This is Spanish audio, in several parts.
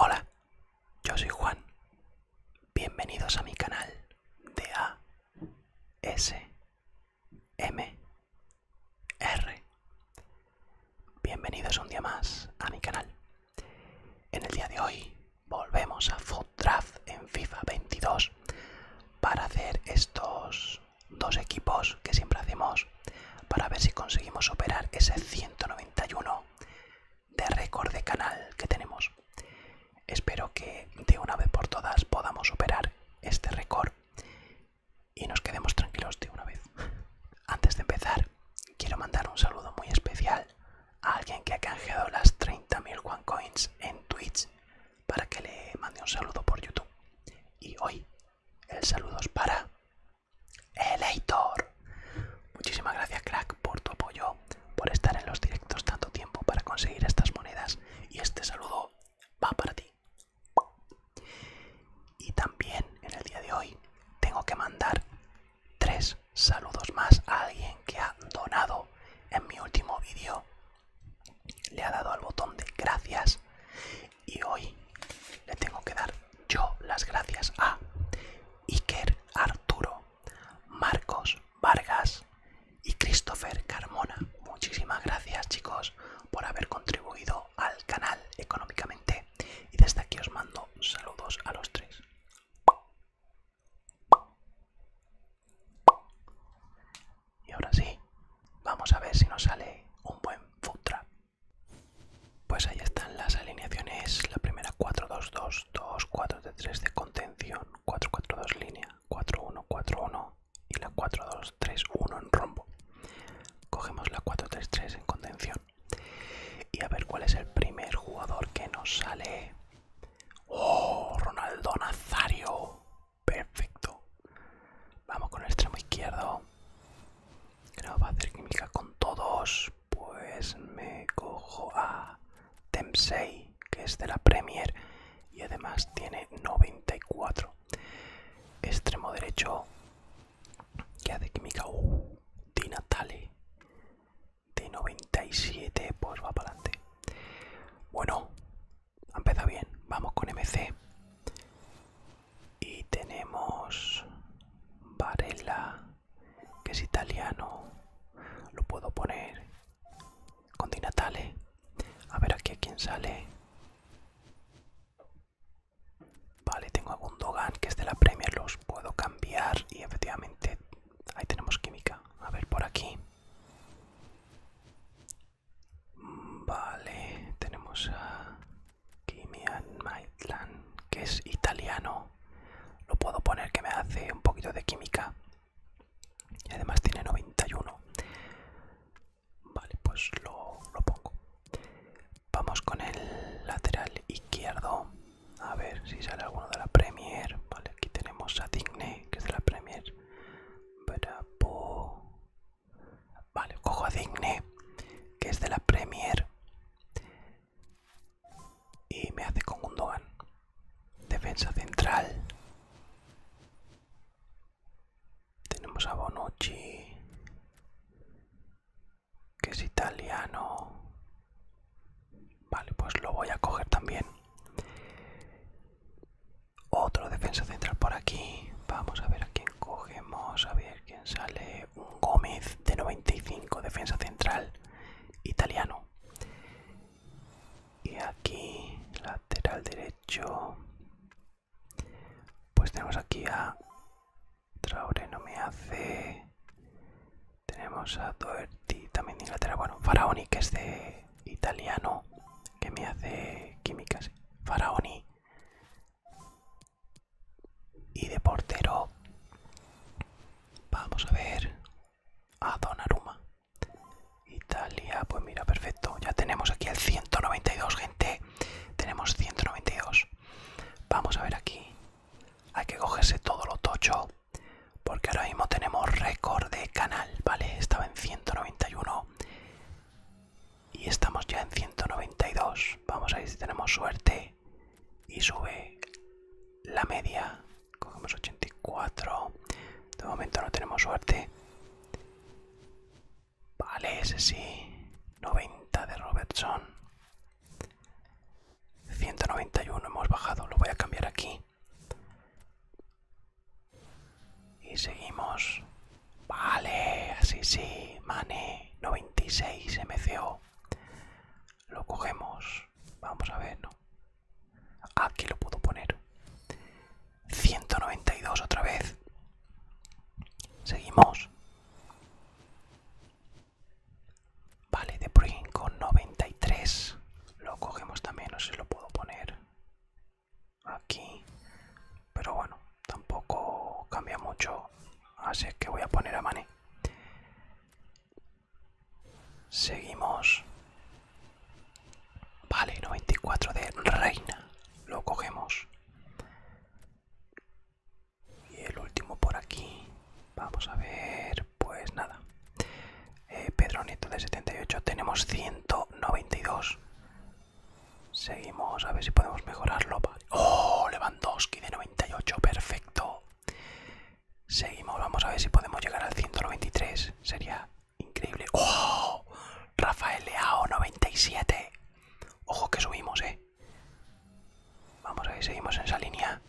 Hola, yo soy Juan. Bienvenidos a mi canal de A S M R. Bienvenidos un día más a mi canal. En el día de hoy volvemos a Food Draft en FIFA 22 para hacer estos dos equipos que siempre hacemos para ver si conseguimos superar ese 191 de récord de canal que tenemos. Espero que de una vez por todas podamos superar este récord y nos quedemos tranquilos de una vez. Antes de empezar, quiero mandar un saludo muy especial alguien que ha canjeado las 30.000 OneCoins en Twitch para que le mande un saludo por YouTube. Y hoy el saludo es para Eleitor. Muchísimas gracias, crack, por tu apoyo, por estar en los directos tanto tiempo para conseguir estas monedas. Y este saludo va para ti. Y también en el día de hoy tengo que mandar tres saludos más a alguien que ha donado en mi último vídeo. Le ha dado al botón de gracias y hoy le tengo que dar yo las gracias a Iker Arturo, Marcos Vargas y Christopher Carmona. Muchísimas gracias chicos por haber contribuido al canal económicamente y desde aquí os mando saludos a los tres. Y ahora sí, vamos a ver si nos sale un buen futra. trap. Pues ahí están las alineaciones. La primera 4-2-2, 2-4-3 de contención, 4-4-2 línea, 4-1-4-1 y la 4-2-3-1 en rombo. Cogemos la 4-3-3 en contención. Y a ver cuál es el primer jugador que nos sale Oh, Ronaldo Nazario. Perfecto. Vamos con el extremo izquierdo. Creo va a hacer química con todos. Pues me cojo a Temsei que es de la Premier. Y además tiene 94. Extremo derecho. Que hace química. ¡Uh! Di Natale de 97, pues va para adelante. Bueno, ha bien. Vamos con MC. Y tenemos Varela, que es italiano. Lo puedo poner con Dinatale A ver aquí a quién sale. Vale, tengo a Gundogan, que es de la Premier. Los puedo cambiar y efectivamente Ahí tenemos química. A ver, por aquí. Vale, tenemos a Kimian Maitland, que es italiano. Lo puedo poner que me hace un poquito de química. Y además tiene 91. Vale, pues lo, lo pongo. Vamos con el lateral izquierdo a ver si sale alguno de la Premier. Vale, aquí tenemos a Digne, que es de la Premier. Bravo. Vale, cojo a Digne, que es de la Premier. Y me hace con Gundogan. Defensa central. Tenemos a Bonucci, que es italiano. Vale, pues lo voy a coger también. Otro defensa central por aquí. Vamos a ver a quién cogemos. A ver quién sale. Un Gómez de 95, defensa central italiano. Y aquí, lateral derecho. Pues tenemos aquí a Traore, no me hace. Tenemos a Doherty, también de Inglaterra. Bueno, Faraoni, que es de italiano, que me hace químicas. Faraoni. Y de portero, vamos a ver a donaruma Italia, pues mira, perfecto. Ya tenemos aquí el 192, gente. Tenemos 192. Vamos a ver aquí. Hay que cogerse todo lo tocho porque ahora mismo tenemos récord de canal, ¿vale? Estaba en 191 y estamos ya en 192. Vamos a ver si tenemos suerte y sube la media. Cogemos 84. De momento no tenemos suerte. Vale, ese sí. 90 de Robertson. 191 hemos bajado, lo voy a cambiar aquí. Y seguimos. Vale, así sí, Mane 96 MCO. Lo cogemos. Vamos a ver, ah, Aquí lo puedo poner. 192 otra vez. Seguimos. Vale, de pring con 93. Lo cogemos también, no sé lo puedo poner aquí. Pero bueno, tampoco cambia mucho. Así que voy a poner a Mane. Seguimos. Vale, 94 de Reina. Lo cogemos y el último por aquí vamos a ver pues nada Pedronito eh, Pedro de 78 tenemos 192 seguimos a ver si podemos mejorarlo oh Lewandowski de 98 perfecto seguimos vamos a ver si podemos llegar al 193 sería increíble oh Rafael Leao 97 ojo que subimos eh Vamos a ver, seguimos en esa línea.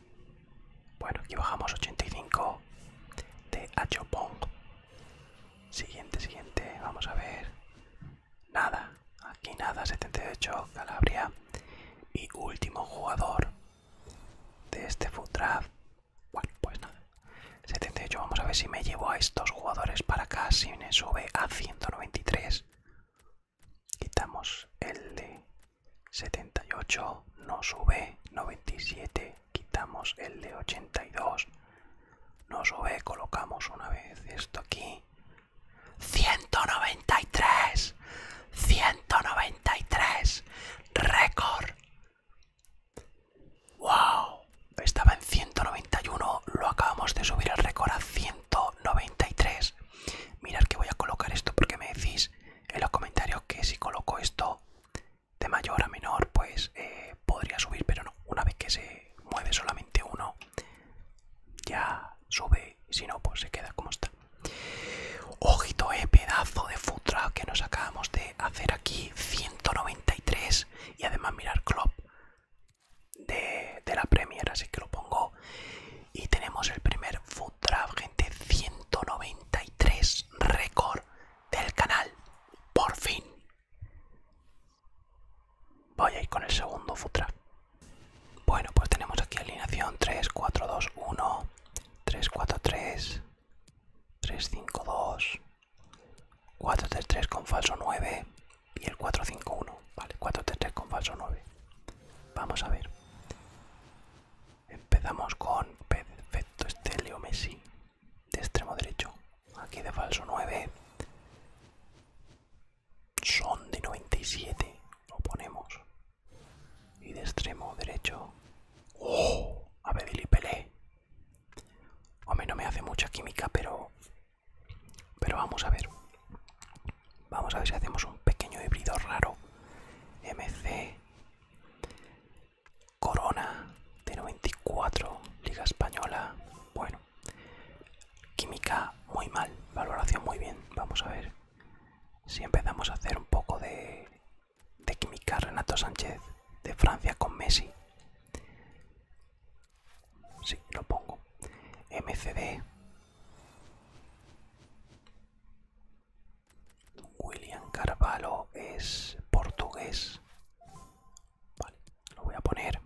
Bueno, aquí bajamos 85 de Achopong. Siguiente, siguiente, vamos a ver. Nada, aquí nada, 78, Calabria. Y último jugador de este food Bueno, pues nada. 78, vamos a ver si me llevo a estos jugadores para acá, si me sube a 193 quitamos el de 78 no sube 97 quitamos el de 82 no sube colocamos una vez esto aquí 193 193 récord wow estaba en 191 lo acabamos de subir el récord a 193 mirad que voy a colocar esto porque me decís en los comentarios que si coloco esto de mayor a menor, pues eh, podría subir, pero no. Una vez que se mueve solamente uno, ya sube. Si no, pues se queda como está. Ojito, eh, pedazo de futra que nos acabamos de hacer aquí. 193. Y además mirar Club de, de la Premier, así que lo pongo y tenemos el primer foot gente, 193 récord del canal. Por fin. Voy a ir con el segundo food Bueno, pues tenemos aquí alineación 3, 4, 2, 1, 3, 4, 3, 3, 5, 2, 4, 3, 3 con falso 9 y el 4, 5, 1. Vale, 4, 3, 3 con falso 9. Vamos a ver. Empezamos con perfecto Estelio Messi de extremo derecho. Aquí de falso 9. Son de 97. Lo ponemos. Y de extremo derecho. ¡Oh! A Bedili Pelé. A mí no me hace mucha química, pero. Pero vamos a ver. Vamos a ver si hacemos un pequeño híbrido raro. MC Corona de 94, Liga Española. Bueno, química muy mal, valoración muy bien. Vamos a ver si empezamos a hacer un poco de, química Renato Sánchez de Francia con Messi. Sí, lo pongo. MCD William Carvalho es portugués. lo voy a poner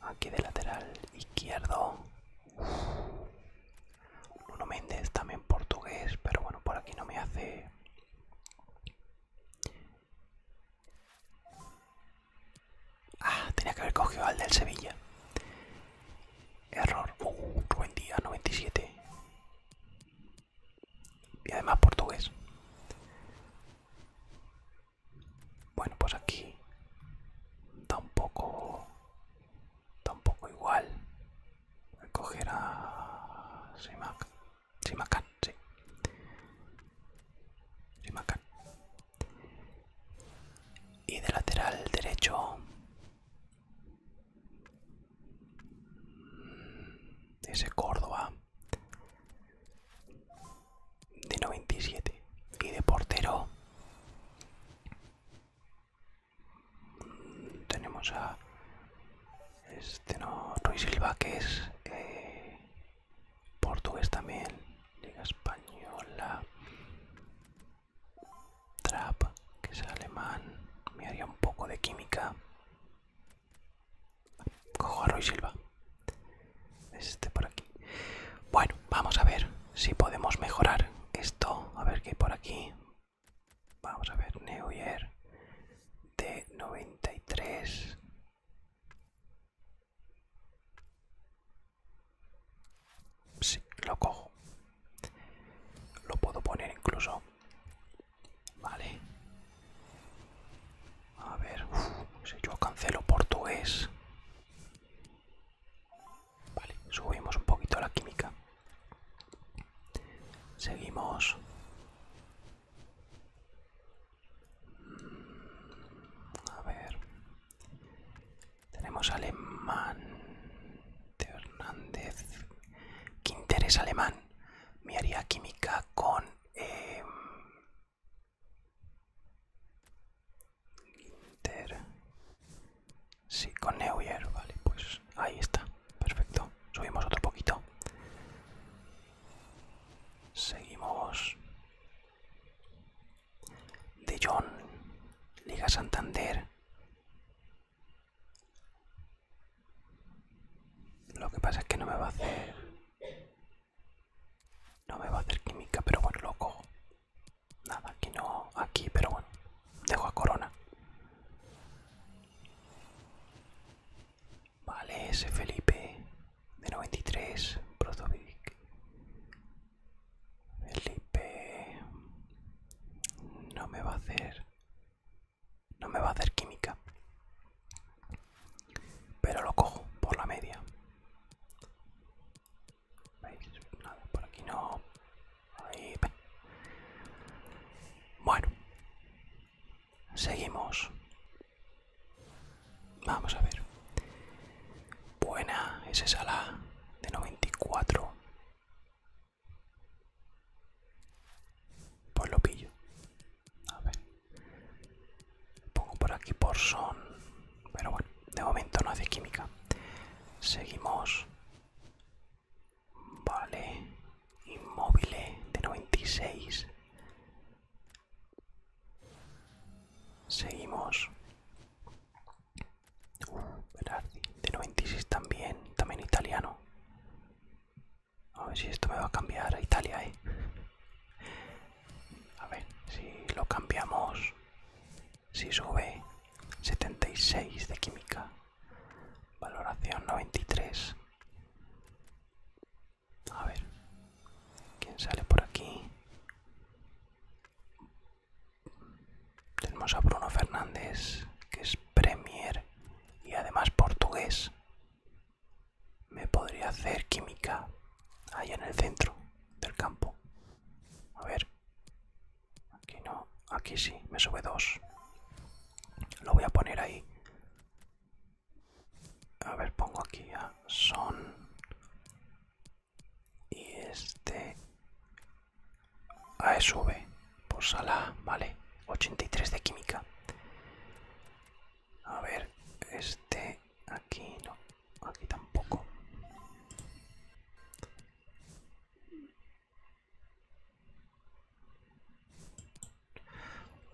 aquí de lateral izquierdo. Bruno Méndez también portugués, pero bueno, por aquí no me hace... Ah, tenía que haber cogido al del Sevilla. Error. Uh, día 97. Y además portugués. Bueno, pues aquí un poco igual coger a Simacán sí. Simacán y de lateral derecho ese Córdoba de 97 y de portero tenemos a este no Ruiz Silva que es eh, portugués también Liga Española Trap, que es alemán. Me haría un poco de química. Cojo a Roy Silva. Este por aquí. Bueno, vamos a ver si podemos mejorar esto. A ver qué por aquí. Vamos a ver, Year de 93. Sí, lo cojo. Lo puedo poner incluso. Vale. A ver, si yo cancelo portugués. Vale, subimos un poquito la química. Seguimos. Mm, a ver. Tenemos alemán. de Hernández. Quinter es alemán. Me haría química con. Quinter. Em, sí, con Neuer. Vale, pues ahí está. Perfecto. Subimos otro poquito. Seguimos de John, Liga Santander. Lo que pasa es que no me va a hacer. No me va a hacer química, pero bueno, loco Nada, aquí no, aquí, pero bueno. Dejo a Corona. Vale, ese Felipe de 93, Felipe no me va a hacer. No me va a hacer química. Pero lo cojo por la media. por aquí no. Bueno. Seguimos. Vamos a ver. Buena, esa es de 94. Pues lo pillo. A ver. Pongo por aquí por son. Pero bueno, de momento no hace química. Seguimos. Vale. Inmóvil de 96. Seguimos. Uh, de 96 también, también italiano. A ver si esto me va a cambiar a Italia, eh. A ver, si lo cambiamos, si sube 76 de química, valoración 93. A ver, ¿quién sale por aquí? Tenemos a Bruno Fernández, que es Premier y además portugués. Me podría hacer química Ahí en el centro del campo. A ver. Aquí no, aquí sí, me sube dos. Lo voy a poner ahí. A ver, pongo aquí a Son y este A V por sala, vale, 83 de química. A ver, este aquí no, aquí tampoco.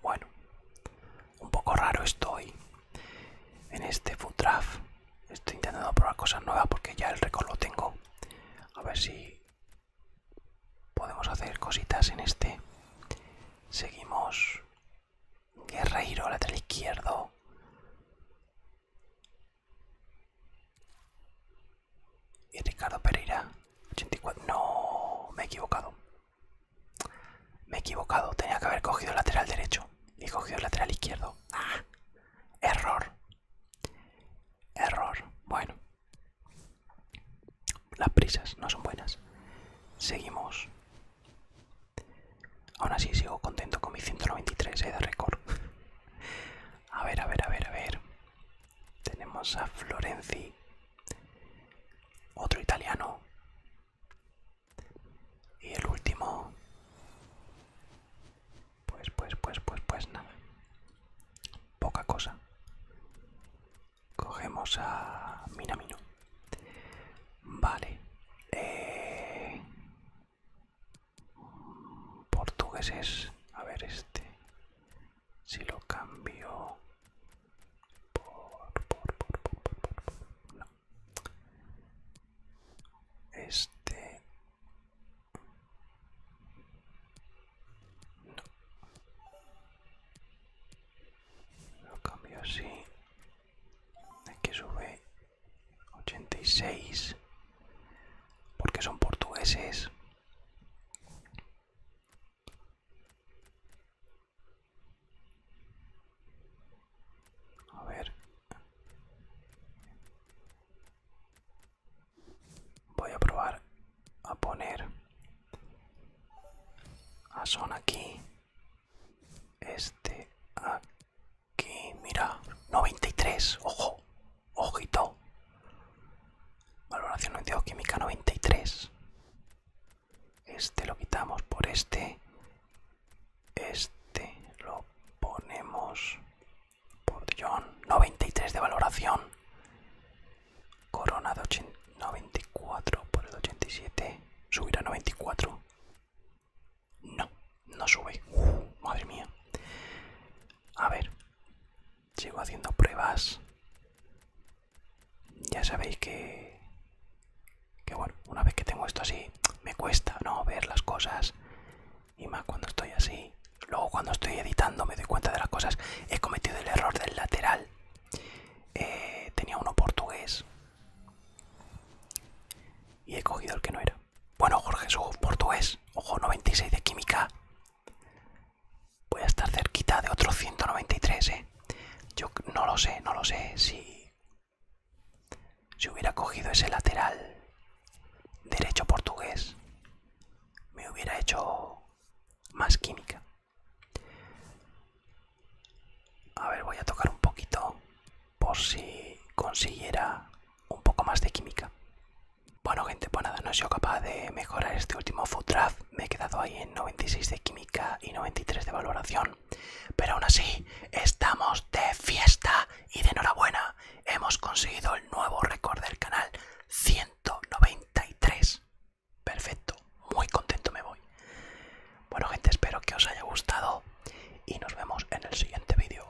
Bueno, un poco raro estoy en este food draft. Estoy intentando probar cosas nuevas porque ya el récord lo tengo. A ver si podemos hacer cositas en este. Seguimos. Guerreiro, del izquierdo. Y Ricardo Pereira. 84. No, me he equivocado. Me he equivocado, tenía que haber cogido el lateral derecho. Y cogido el lateral izquierdo. ¡Ah! Error. Error. Bueno. Las prisas no son buenas. Seguimos. Aún así sigo contento con mi 193 eh, de récord. a ver, a ver, a ver, a ver. Tenemos a Florenzi. Otro italiano. Y el último... Pues, pues, pues, pues, pues nada. Poca cosa. Cogemos a Minamino. Vale. Eh... A ver este. Si lo cambio... No. Este... Lo cambio así. que sube 86. Porque son portugueses. A ver. Voy a probar a poner a Son aquí. Este aquí. Mira. 93. Ojo. Ojito. Valoración química 93. Este lo quitamos por este. Este lo ponemos por John. 93 de valoración. Corona de 94 por el 87. ¿Subirá 94? No, no sube. madre mía. A ver. Sigo haciendo pruebas. Ya sabéis que que bueno, una vez que tengo esto así, me cuesta no ver las cosas. Y más cuando estoy así. Luego cuando estoy editando me doy cuenta de las cosas. He cometido el error del lateral. Eh, tenía uno portugués. Y he cogido el que no era. Bueno, Jorge, su portugués. Ojo, 96 de química. Voy a estar cerquita de otro 193, ¿eh? Yo no lo sé, no lo sé si si hubiera cogido ese lateral derecho portugués, me hubiera hecho más química. A ver, voy a tocar un poquito por si consiguiera un poco más de química. Bueno gente, pues nada, no he sido capaz de mejorar este último foot draft. Me he quedado ahí en 96 de química y 93 de valoración. Pero aún así, estamos de fiesta y de enhorabuena. Hemos conseguido el nuevo récord del canal 193. Perfecto, muy contento me voy. Bueno gente, espero que os haya gustado y nos vemos en el siguiente vídeo.